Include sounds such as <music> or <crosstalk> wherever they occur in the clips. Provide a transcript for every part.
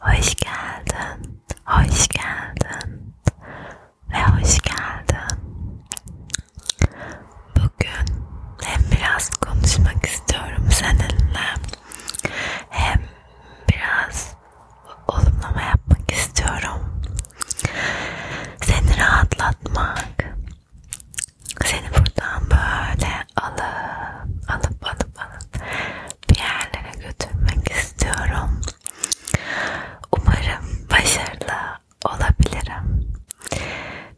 Hoş geldin, hoş geldin ve hoş geldin. Bugün hem biraz konuşmak istiyorum seninle, hem biraz olumlama yapmak istiyorum. Seni rahatlatmak, seni buradan böyle alın, alıp alıp alın bir yerlere götürmek istiyorum. Umarım başarılı olabilirim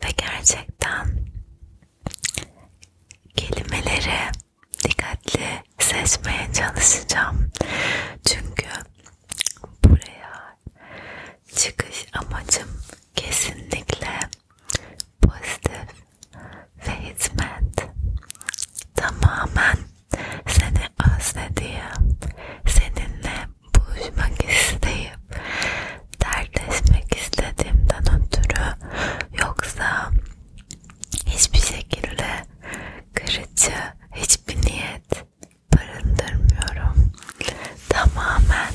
ve gerçekten kelimeleri dikkatli seçmeye çalışacağım çünkü buraya çıkış amacım kesinlikle pozitif ve hizmet tamamen seni özlediğim, seninle buluşmak isteyip dertleşmek istediğimden ötürü yoksa hiçbir şekilde kırıcı hiçbir niyet barındırmıyorum. Tamamen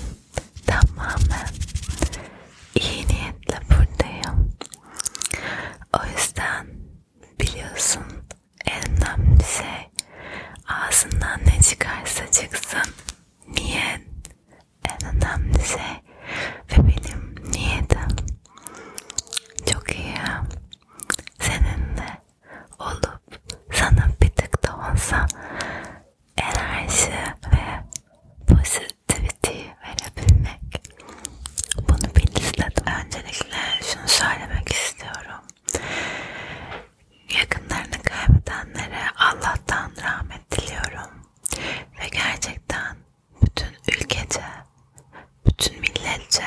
tamamen iyi niyetle buradayım. O yüzden biliyorsun en önemli şey ağzından ne çıkarsa çıksın niyet en önemli şey ve benim niyetim çok iyi seninle olup sana bir tık da olsa enerji ve pozitif positivity'yi verebilmek. Bunu bir listede öncelikle şunu söylemek istiyorum. Yakınlarını kaybedenlere Allah'tan rahmet diliyorum. Ve gerçekten bütün ülkece, bütün milletçe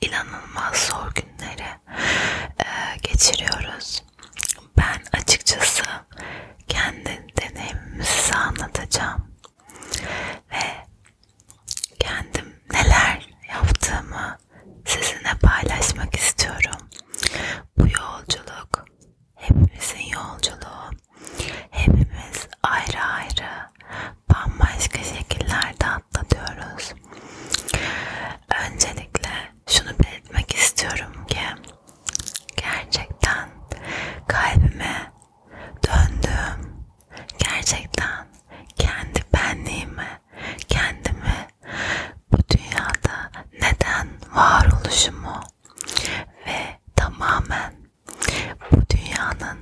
inanılmaz zor günleri e, geçiriyoruz ben açıkçası kendi deneyimimi size anlatacağım ve kendim neler yaptığımı sizinle paylaşmak istiyorum. Bu yolculuk hepimizin yolculuğu. Hepimiz ayrı ayrı bambaşka şekillerde atlatıyoruz. Öncelikle şunu belirtmek istiyorum ki Gerçekten kalbime döndüm. Gerçekten kendi benliğimi, kendimi bu dünyada neden varoluşumu ve tamamen bu dünyanın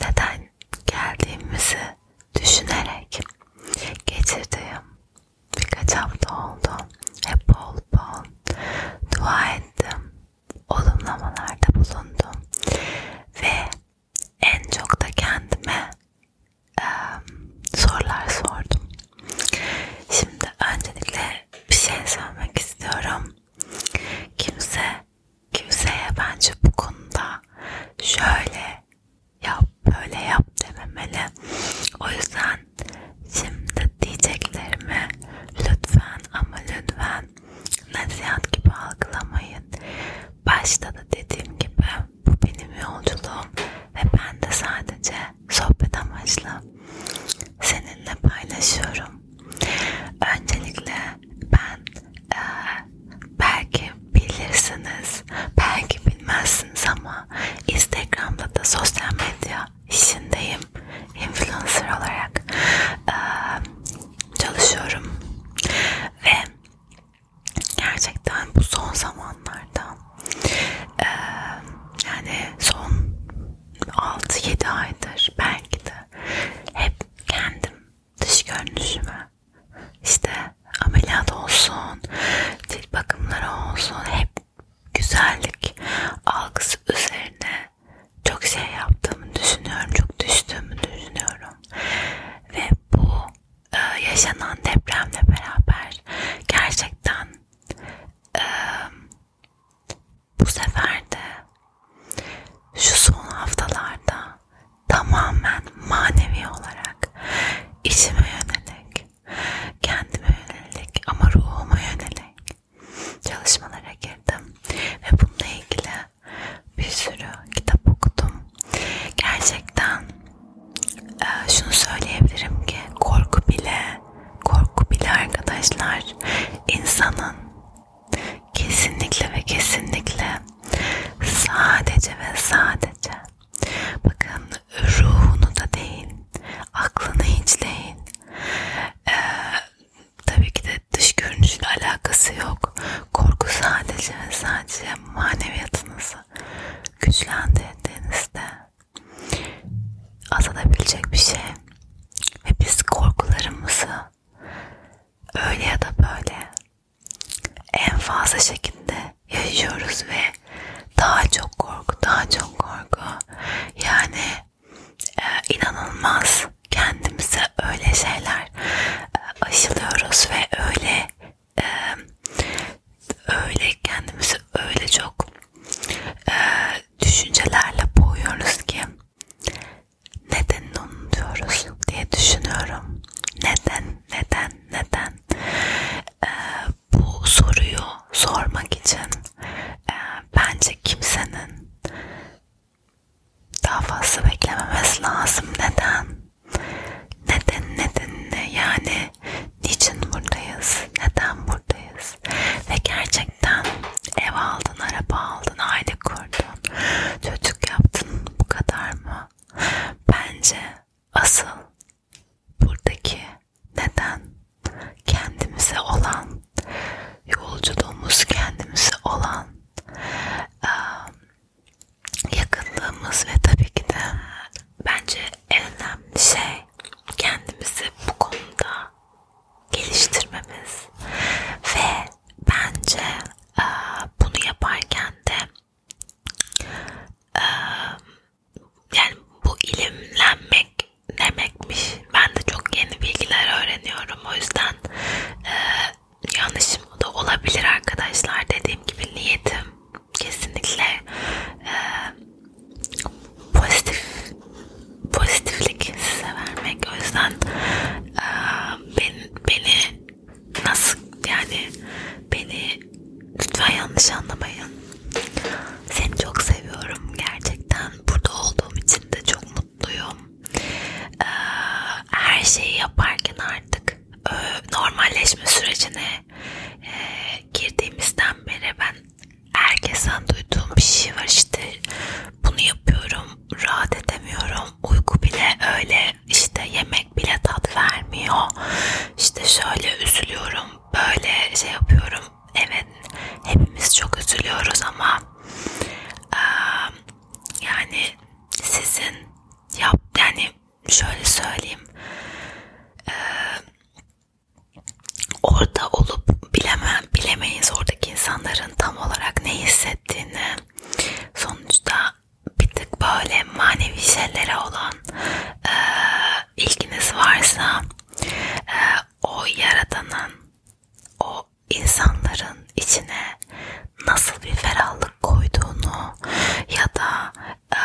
neden geldiğimizi düşünerek geçirdiğim birkaç hafta oldu. Hep bol bol dua ettim. Olumlamalarda bulundum. Ve en çok da kendime e, sorular sordum. Şimdi öncelikle bir şey söylemek istiyorum. Kimse kimseye bence bu konuda şöyle yap böyle yap dememeli. O yüzden Şimdi diyeceklerimi lütfen ama lütfen nasihat gibi algılamayın. Başta da dediğim gibi bu benim yolculuğum ve ben de sadece sohbet amaçlı seninle paylaşıyorum. Öncelikle ben e, belki bilirsiniz, belki bilmezsiniz ama Instagram'da da sosyal medya medya işindeyim. Influencer olarak e, çalışıyorum. Ve gerçekten bu son zamanlarda e, yani son 6-7 aydır belki de hep kendim dış görünüşüme işte ameliyat olsun, cilt bakımları olsun hep güzellik algısı üzerine çok şey yaptığımı düşünüyorum. Çok düştüğümü düşünüyorum. Ve bu e, yaşanan depremle beraber gerçekten e, bu sefer de şu son haftalarda tamamen manevi olarak içime yönelik kendime yönelik ama ruhuma yönelik çalışmalara girdim ve bununla ilgili bir sürü kitap okudum. Gerçekten e, şunu söyleyebilirim ki korku bile korku bile arkadaşlar insanın kesinlikle ve kesinlikle sadece ve sadece Bakın ruhunu da deyin, aklını hiçleyin. Ee, tabii ki de dış görünüşle alakası yok. Korku sadece ve sadece maneviyatınızı güçlendirdiğinizde azalabilecek bir şey. Ve biz korkularımızı öyle ya da böyle en fazla şekilde yaşıyoruz ve daha çok korku, daha çok korku. Yani e, inanılmaz kendimize öyle şeyler e, aşılıyoruz ve öyle e, öyle kendimizi öyle çok e, düşüncelerle boğuyoruz ki neden unutuyoruz diye düşünüyorum. Neden, neden, neden? e, bu soruyu sormak için e, bence kimsenin daha fazla beklememesi lazım. Neden? Neden? Neden? Ne? Yani niçin buradayız? Neden buradayız? Ve gerçekten ev aldın, araba aldın, aile kurdun, çocuk yaptın bu kadar mı? Bence asıl buradaki neden kendimize olan yolculuğumuz kendimize olan yakınlığımız ve tabii ki de bence en önemli şey kendimizi bu konuda geliştirmemiz ve bence bunu yaparken de yani bu ilimlenmek demekmiş. Ben de çok yeni bilgiler öğreniyorum. O yüzden e, yanlışım da olabilir arkadaşlar. Dediğim gibi niyetim kesinlikle e, pozitif pozitiflik size vermek. O yüzden e, ben, beni nasıl yani beni Lütfen yanlış anlamayın. Seni çok seviyorum gerçekten. Burada olduğum için de çok mutluyum. Ee, her şeyi yaparken artık e, normalleşme sürecine e, girdiğimizden beri ben herkesten duyduğum bir şey var işte bunu yapıyorum rahat edemiyorum uyku bile öyle işte yemek bile tat vermiyor işte şöyle üzülüyorum böyle şey yapıyorum. Evet hepimiz çok üzülüyoruz ama e, yani sizin yap yani şöyle söyleyeyim e, orada olup bilemem bilemeyiz oradaki insanların tam olarak ne hissettiğini sonuçta bir tık böyle manevi şeylere olan e, ilginiz varsa e, o yaradanın o insanların içine nasıl bir ferahlık koyduğunu ya da e,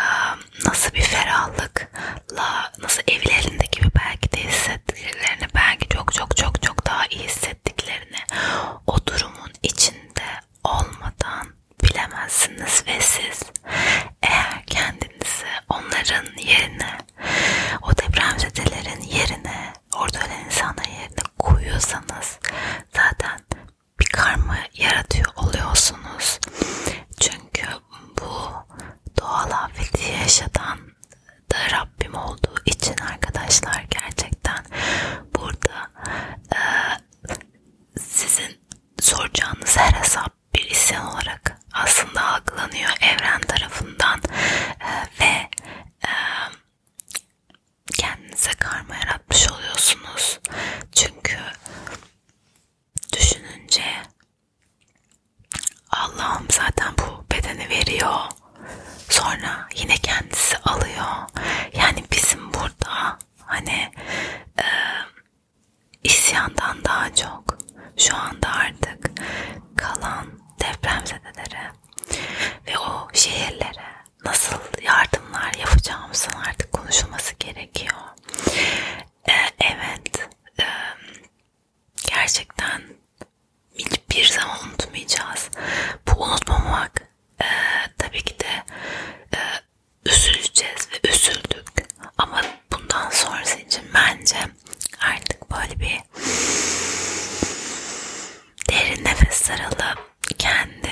nasıl bir ferahlıkla nasıl evlerindeki gibi belki de hissettiklerini belki çok çok çok çok daha iyi hissettiklerini o durumun içinde olmadan bilemezsiniz ve siz eğer kendinizi onların yerine, o depremzedelerin yerine, orada ölen insanların yerine koyuyorsanız zaten bir karma yaratıyor oluyorsunuz. Çünkü bu doğal afeti yaşatan da Rabbim olduğu için arkadaşlar gerçekten burada e, sizin soracağınız her hesap bir isyan olarak aslında algılanıyor evren tarafından e, ve e, kendinize karma yaratmış oluyorsunuz. Çünkü düşününce Allah'ım zaten bu bedeni veriyor. Sonra yine kendisi alıyor. Yani bizim burada hani e, İsyandan daha çok şu anda artık kalan depremzedelere ve o şehirlere nasıl yardımlar yapacağımızın artık konuşulması gerekiyor. Ee, evet, e, gerçekten hiçbir zaman unutmayacağız. Bu unutmamak e, tabii ki de e, üzüleceğiz ve üzüldük. Ama bundan sonrası için bence artık böyle bir derin nefesler alıp kendi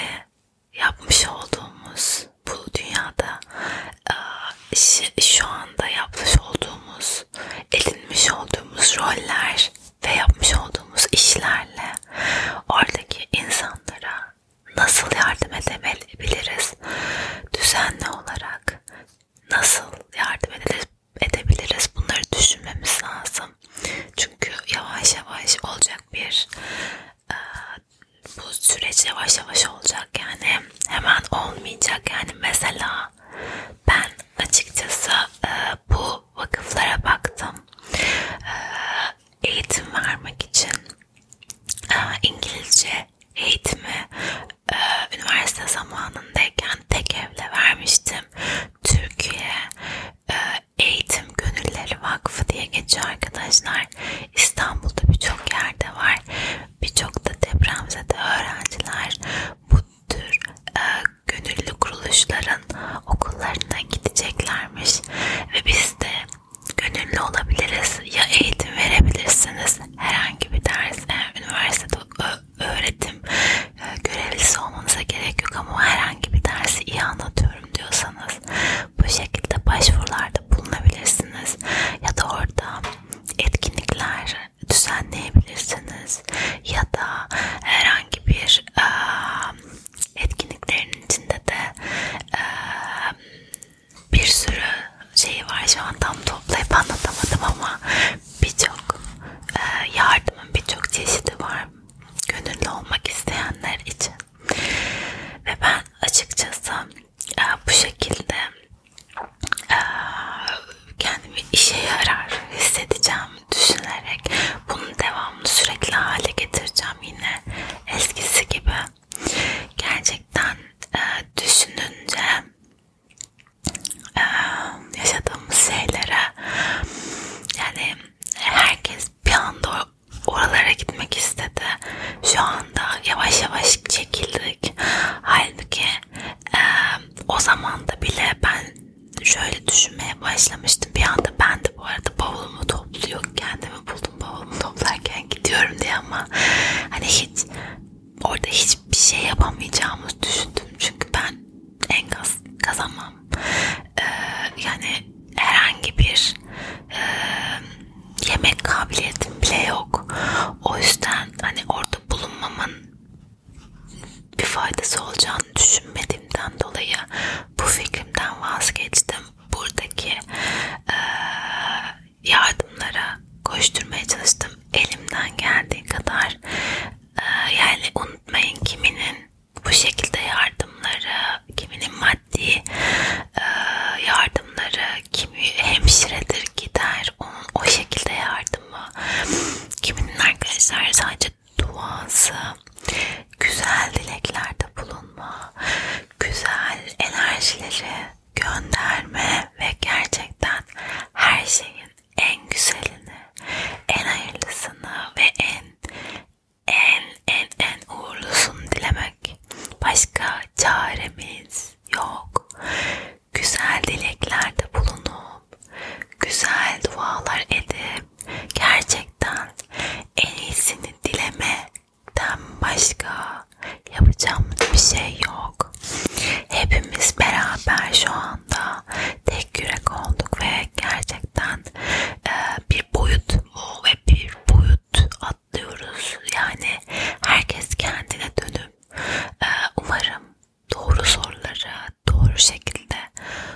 yapmış olduğumuz bu dünyada e, şu anda yapmış olduğumuz edinmiş olduğumuz roller ve yapmış olduğumuz işlerle oradaki insanlara nasıl yardım edebiliriz? Düzenli olarak nasıl yardım edebiliriz? Bunları düşünmemiz lazım. Çünkü yavaş yavaş olacak bir e, bu süreç yavaş yavaş olacak yani hemen olmayacak yani mesela ben açıkçası e, bu vakıflara baktım e, eğitim vermek için e, İngilizce eğitimi e, üniversite zamanındayken tek evle vermiştim. Türkiye e, Eğitim Gönülleri Vakfı diye geçiyor arkadaşlar. İstanbul'da birçok yerde var. Birçok da depremzede öğrenciler bu tür gönüllü kuruluşların okullarına gideceklermiş. Ve biz de gönüllü olabiliriz ya eğitim verebilirsiniz herhangi bir ders e, üniversitede öğretim e, görevlisi olmanıza gerek yok ama herhangi bir dersi iyi anlatıyorum diyorsanız bu şekilde başvurularda bulunabilirsiniz ya da orada etkinlikler düzenleyebilirsiniz ya da herhangi bir e, etkinliklerin içinde de e, bir sürü şey var şu an tam toplayıp anlatamadım ama birçok e, yardımın birçok çeşidi var gönüllü olmak isteyenler için ve ben açıkçası e, bu şekilde e, kendimi işe yarar hissedeceğim düşünerek bunun devamını sürekli hale getireceğim yine eskisi gibi. Gerçekten e, düşününce e, yaşadığımız şeylere yani herkes bir anda oralara gitmek istedi. Şu anda yavaş yavaş çekildik. Halbuki e, o zamanda bile ben şöyle düşünmeye başlamıştım. Bir anda ben de bu arada bavulumu topluyor. Kendimi buldum bavulumu toplarken gidiyorum diye ama hani hiç orada hiçbir şey yapamayacağımı düşündüm. Çünkü ben enkaz kazanmam. Ee, yani herhangi bir e, yemek kabiliyetim bile yok. O yüzden hani orada bulunmamın bir faydası olacağını düşünmediğimden dolayı bu fikrimden vazgeçtim buradaki e, yardımlara koşturmaya çalıştım. Elimden geldiği kadar e, yani unutmayın kiminin bu şekilde yardımları, kiminin maddi e, yardımları, kimi hemşiredir gider onun o şekilde yardımı, kiminin arkadaşlar sadece duası, güzel dileklerde bulunma, güzel enerjileri gönderme ve gerçekten her şeyin en güzelini, en hayırlısını ve en en en en uğurlusunu dilemek. Başka çaremiz yok. Güzel dileklerde bulunup, güzel dualar edip gerçekten en iyisini dilemeden başka yapacağımız bir şey yok. Hepimiz beraber şu anda tek yürek olduk ve gerçekten e, bir boyut bu ve bir boyut atlıyoruz. Yani herkes kendine dönüp e, umarım doğru soruları doğru şekilde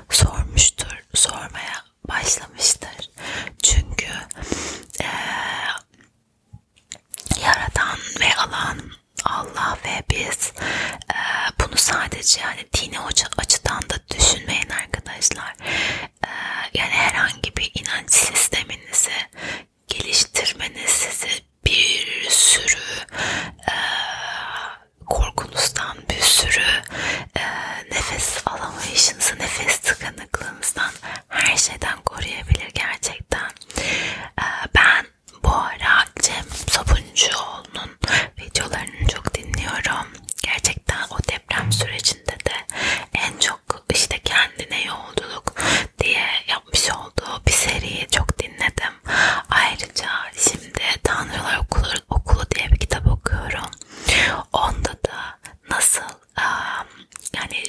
sormuştur, sormaya başlamıştır. Çünkü e, Yaradan ve alan Allah ve biz e, bunu sadece yani dini açıdan da düşünmeyin arkadaşlar. E, yani herhangi bir inanç sisteminizi geliştirmeniz size bir sürü e, korkunuzdan bir sürü e, nefes alamayışınızı, nefes tıkanıklığınızdan her şeyden koruyabilir gerçekten. E, ben bu ara Cem Sabuncuoğlu'nun videolarını çok dinliyorum. Gerçekten o deprem sürecinde de en çok işte kendine yolculuk diye yapmış olduğu bir seriyi çok dinledim. Ayrıca şimdi Tanrılar Okulu, Okulu diye bir kitap okuyorum. Onda da nasıl yani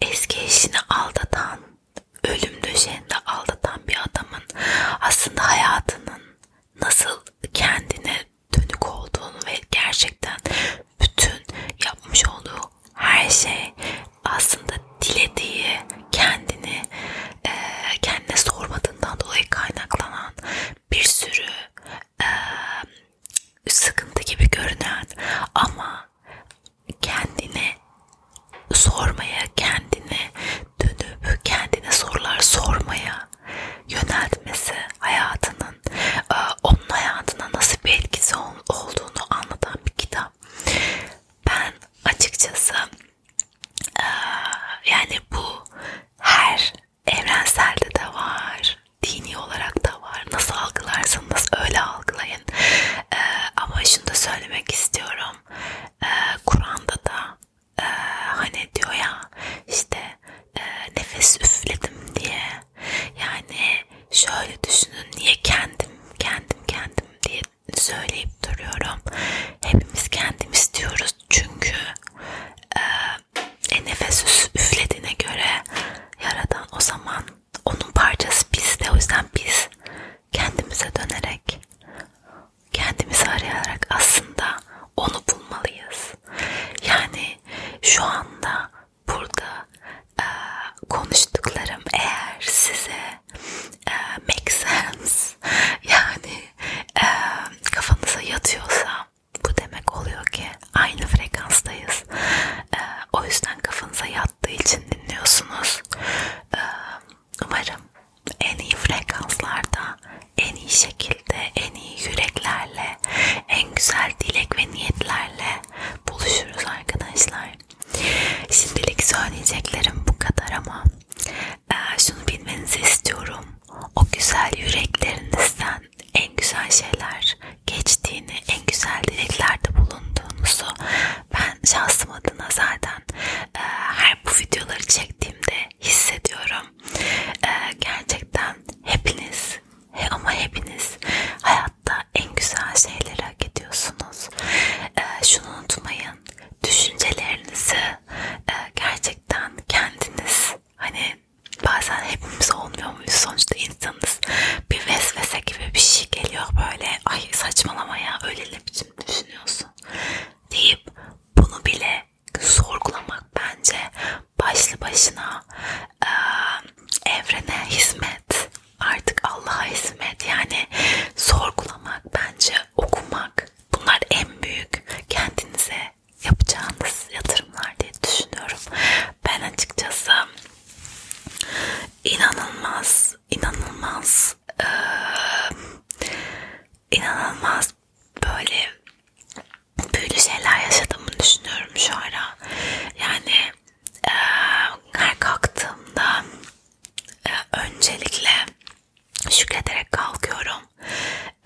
eski eşini aldatan, ölüm döşeğinde aldatan bir adamın aslında hayatının nasıl kendine dönük olduğunu ve gerçekten bütün yapmış olduğu her şey aslında dilediği kendini kendine sormadığından dolayı kaynaklanan bir sürü e, sıkıntı gibi görünen ama kendine sormaya, kendine dönüp kendine sorular sormaya yöneltmesi hayatının e, onun hayatına nasıl bir etkisi olduğunu anlatan bir kitap. Ben açıkçası e, yani bu her evrenselde de var, dini olarak da var. Nasıl algılarsanız öyle algılayın. Ee, ama şunu da söylemek istiyorum. Ee, Kur'an'da da e, hani diyor ya işte e, nefes üfledim diye. Yani şöyle düşünün niye kendim kendim kendim diye söyleyip duruyorum. Hepimiz kendimiz diyoruz yapıyoruz çünkü e, e nefes üflediğine göre yaradan o zaman onun parçası bizde o yüzden biz kendimize dönerek kendimizi arayarak aslında onu bulmalıyız yani şu anda burada e, konuştuklarım eğer size e, make sense <laughs> yani e, Hani kafanıza yatıyorsa bu demek oluyor ki aynı frekanstayız. Ee, o yüzden kafanıza yattığı için dinliyorsunuz. Ee, umarım en iyi frekanslarda, en iyi şekilde, en iyi yüreklerle, en güzel dilek ve niyetlerle buluşuruz arkadaşlar. Şimdilik söyleyeceklerim bu kadar ama e, şunu bilmenizi istiyorum. O güzel yüreklerinizden en güzel şeyler geçtiğini, en güzel dileklerde bulunduğunuzu ben şahsım adına zaten e, her bu videoları çektiğimde hissediyorum. E, gerçekten hepiniz he, ama hepiniz hayatta en güzel şeyleri hak ediyorsunuz. E, şunu unutmayın. Düşüncelerinizi ee, gerçekten kendiniz hani bazen hepimiz olmuyor muyuz sonuçta insanız bir vesvese gibi bir şey geliyor böyle ay saçmalama ya öyle ne biçim düşünüyorsun deyip bunu bile sorgulamak bence başlı başına e, evrene hizmet artık Allah'a hizmet yani sorgulamak bence okumak Bunlar en büyük kendinize yapacağınız yatırımlar diye düşünüyorum. Ben açıkçası inanılmaz, inanılmaz, e, inanılmaz böyle büyülü şeyler yaşadığımı düşünüyorum şu ara. Yani e, her kalktığımda e, öncelikle şükrederek kalkıyorum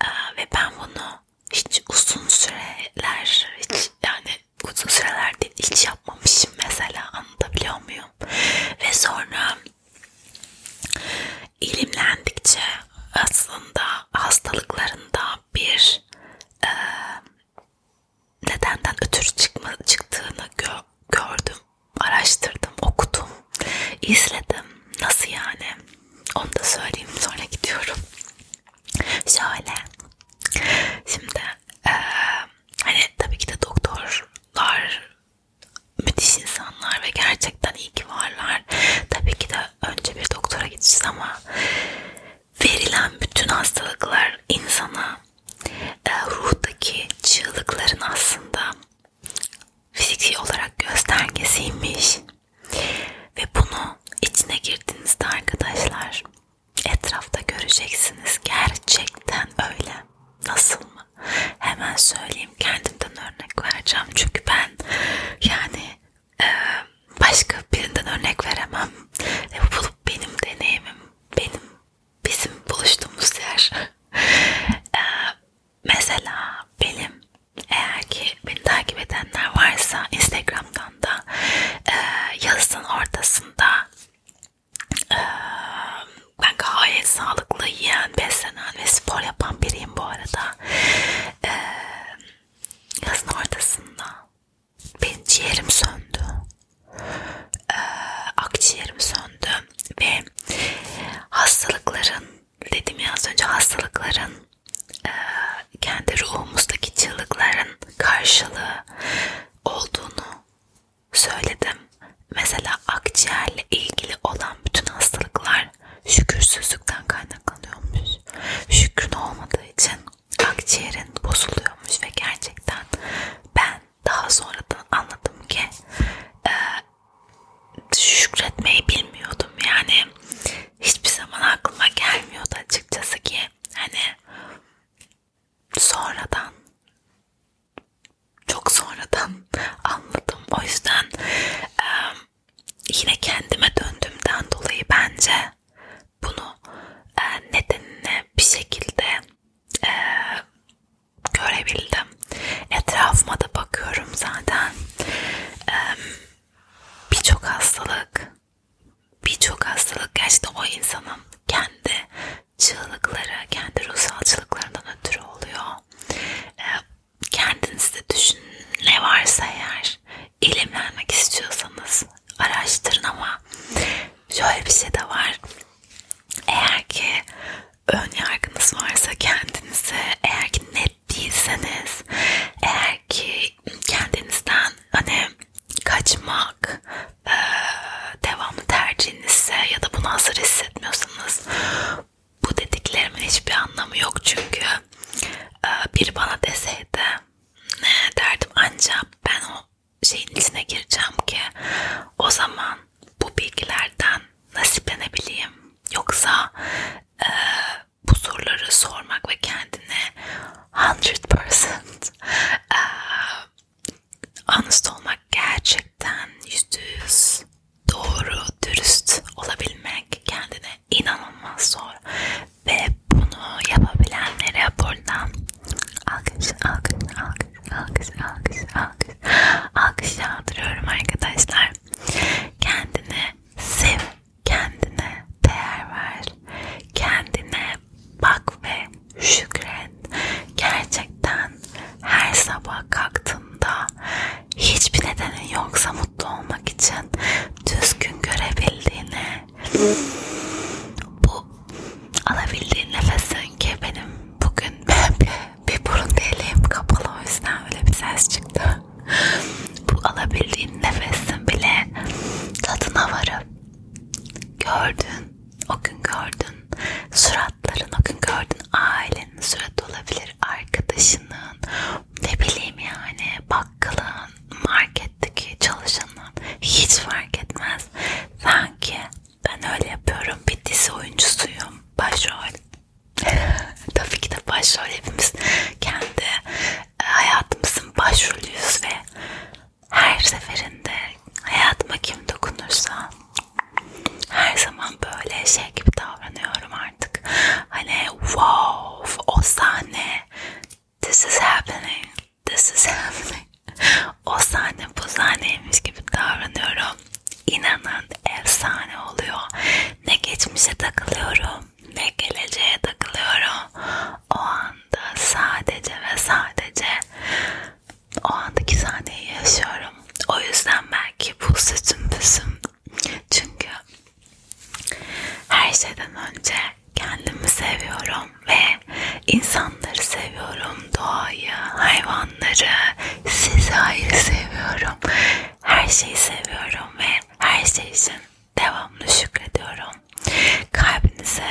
ee, ve ben bunu hiç uzun süreler hiç yani uzun süreler değil, hiç yapmamışım mesela anlatabiliyor muyum? Ve sonra ilimlendikçe aslında hastalıklarında bir e, nedenden ötürü çıkma, çıktığını gö gördüm araştırdım, okudum, izledim. Nasıl yani? Onu da söyleyeyim sonra gidiyorum. Şöyle. Şimdi e, hani tabii ki de doktorlar müthiş insanlar ve gerçekten iyi ki varlar. Tabii ki de önce bir doktora gideceğiz ama verilen bütün hastalıklar insana e, ruhtaki çığlıkların aslında fiziki olarak göstergesiymiş. Ve bunu içine girdiğinizde arkadaşlar etrafta göreceksiniz. Gerçekten öyle. Nasıl mı? Hemen söyleyeyim. Kendimden örnek vereceğim. Çünkü ben yani e, başka birinden örnek veremem. Ve bu benim deneyimim. Benim bizim buluştuğumuz yer. <laughs> e, Mesela benim eğer ki beni takip edenler varsa Instagram'dan da e, yazın ortasında e, ben gayet sağlıklı yiyen, beslenen ve spor yapan biriyim bu arada. E, yazın ortasında benim ciğerim söndü. E, akciğerim söndü ve hastalıkların dedim ya az önce hastalıkların e, kendi ruhumuzdaki çığlıkların karşılığı olduğunu söyledim. Mesela akciğerle ilgili olan bütün hastalıklar şükürsüzlükten kaynaklanıyormuş. Şükrün olmadığı için akciğerin bozuluyormuş ve gerçekten ben ben daha sonradan anladım ki e, şükretmeyi bilmiyordum yani hiçbir zaman aklıma gelmiyordu açıkçası ki hani sonradan çok sonradan anladım o yüzden e, yine kendime döndüğümden dolayı bence bunu e, nedenine bir şekilde e, görebildim. Etrafıma da bakıyorum zaten. Birçok hastalık, birçok hastalık gerçekten o insanın kendi çığlıkları, kendi ruhsalçılıklarından ötürü oluyor. Kendinizde düşün ne varsa eğer ilimlenmek istiyorsanız araştırın ama şöyle bir şey de var. Eğer ki ön yargınız varsa kendinize eğer ki net değilseniz eğer ki kendinizden hani kaçmak e, devamlı tercihinizse ya da bunu hazır hissetmiyorsanız bu dediklerimin hiçbir anlamı yok çünkü e, biri bana deseydi ne derdim ancak ben o şeyin içine gireceğim ki o zaman bu bilgilerden nasiplenebileyim. Yoksa e, bu soruları sormak ve kendine 100% e, honest olmak gerçekten %100 doğru, dürüst olabilmek kendine inanılmaz zor. Ve bunu yapabilenlere buradan alkış, alkış, alkış alkış alkış alkış alkış yağdırıyorum arkadaşlar kendini sev kendine değer ver kendine bak ve şükret gerçekten her sabah kalktığında hiçbir nedenin yoksa mutlu olmak için düzgün görebildiğini bu alabildiğin nefes sanki benim bugün <laughs> bir burun deliğim kapalı o yüzden öyle bir ses çıktı. Bu alabildiğin nefesin bile tadına varıp gördün, o gün gördün, suratların o gün gördün, ailenin suratı olabilir, arkadaşının, ne bileyim yani bakkalın, marketteki çalışanın hiç fark etmez. Sanki ben öyle yapıyorum. Bir dizi oyuncusuyum. Başrol. <laughs> Tabii ki de başrol hepimiz kendi e, hayatımızın başrolüyüz ve her seferinde hayatıma kim dokunursa her zaman böyle şey gibi davranıyorum artık. Hani wow o sahne this is happening this is happening o sahne bu sahneymiş gibi davranıyorum. İnanın efsane oluyor. Ne geçmişe takılıyorum ne geleceğe takılıyorum. O anda sadece ve sadece o andaki sahneyi yaşıyorum. O yüzden belki bu sütüm püsüm. Çünkü her şeyden önce kendimi seviyorum ve insanları seviyorum doğayı, hayvanları, sizi ayrı seviyorum. Her şeyi seviyorum ve her şey için devamlı şükrediyorum. Kalbinize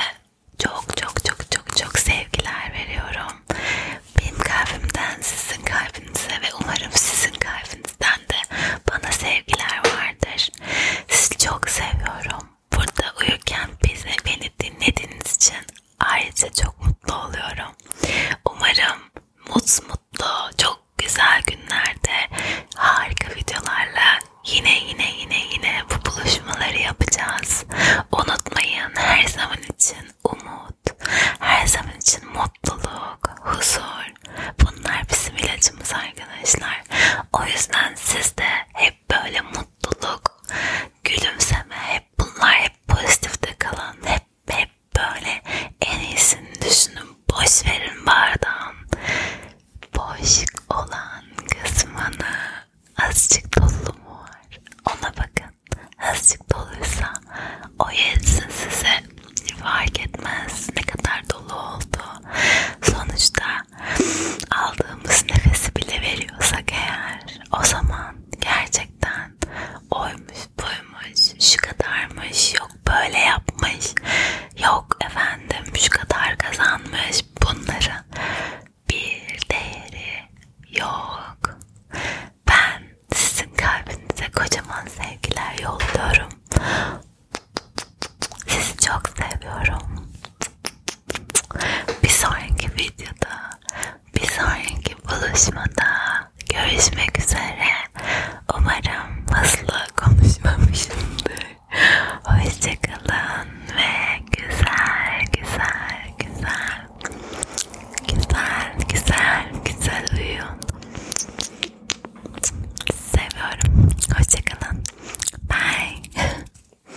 çok çok çok çok çok sevgiler veriyorum. Benim kalbimden sizin kalbinize ve umarım sizin kalbinizden de bana sevgiler vardır. Sizi çok seviyorum. Burada uyurken bizi beni dinlediğiniz için ayrıca çok mutlu oluyorum. Umarım mutlu mutlu çok güzel günlerde harika videolarla yine yine yine yine bu buluşmaları yapacağız. Unutmayın her zaman için umut, her zaman için mutluluk, huzur. Bunlar bizim ilacımız arkadaşlar. O yüzden siz de hep hep böyle mutluluk, gülümseme, hep bunlar hep pozitifte kalan, hep hep böyle en iyisini düşünün, boş verin bardağın. Boş olan kısmını azıcık dolu mu var? Ona bakın. Azıcık doluysa o yetsin size. Fark etmez ne kadar dolu oldu. Sonuçta aldığımız nefesi bile veriyorsak eğer o zaman gerçekten oymuş buymuş şu kadarmış yok böyle yapmış yok efendim şu kadar kazanmış bunların bir değeri yok. Ben sizin kalbinize kocaman sevgiler yolluyorum. Sizi çok seviyorum. Bir sonraki videoda, bir sonraki buluşmada görüşmek üzere. Umarım hızlı konuşmamışımdır. Hoşçakalın ve güzel, güzel, güzel, güzel, güzel, güzel uyuyun. Seviyorum. Hoşçakalın. Bye. <laughs>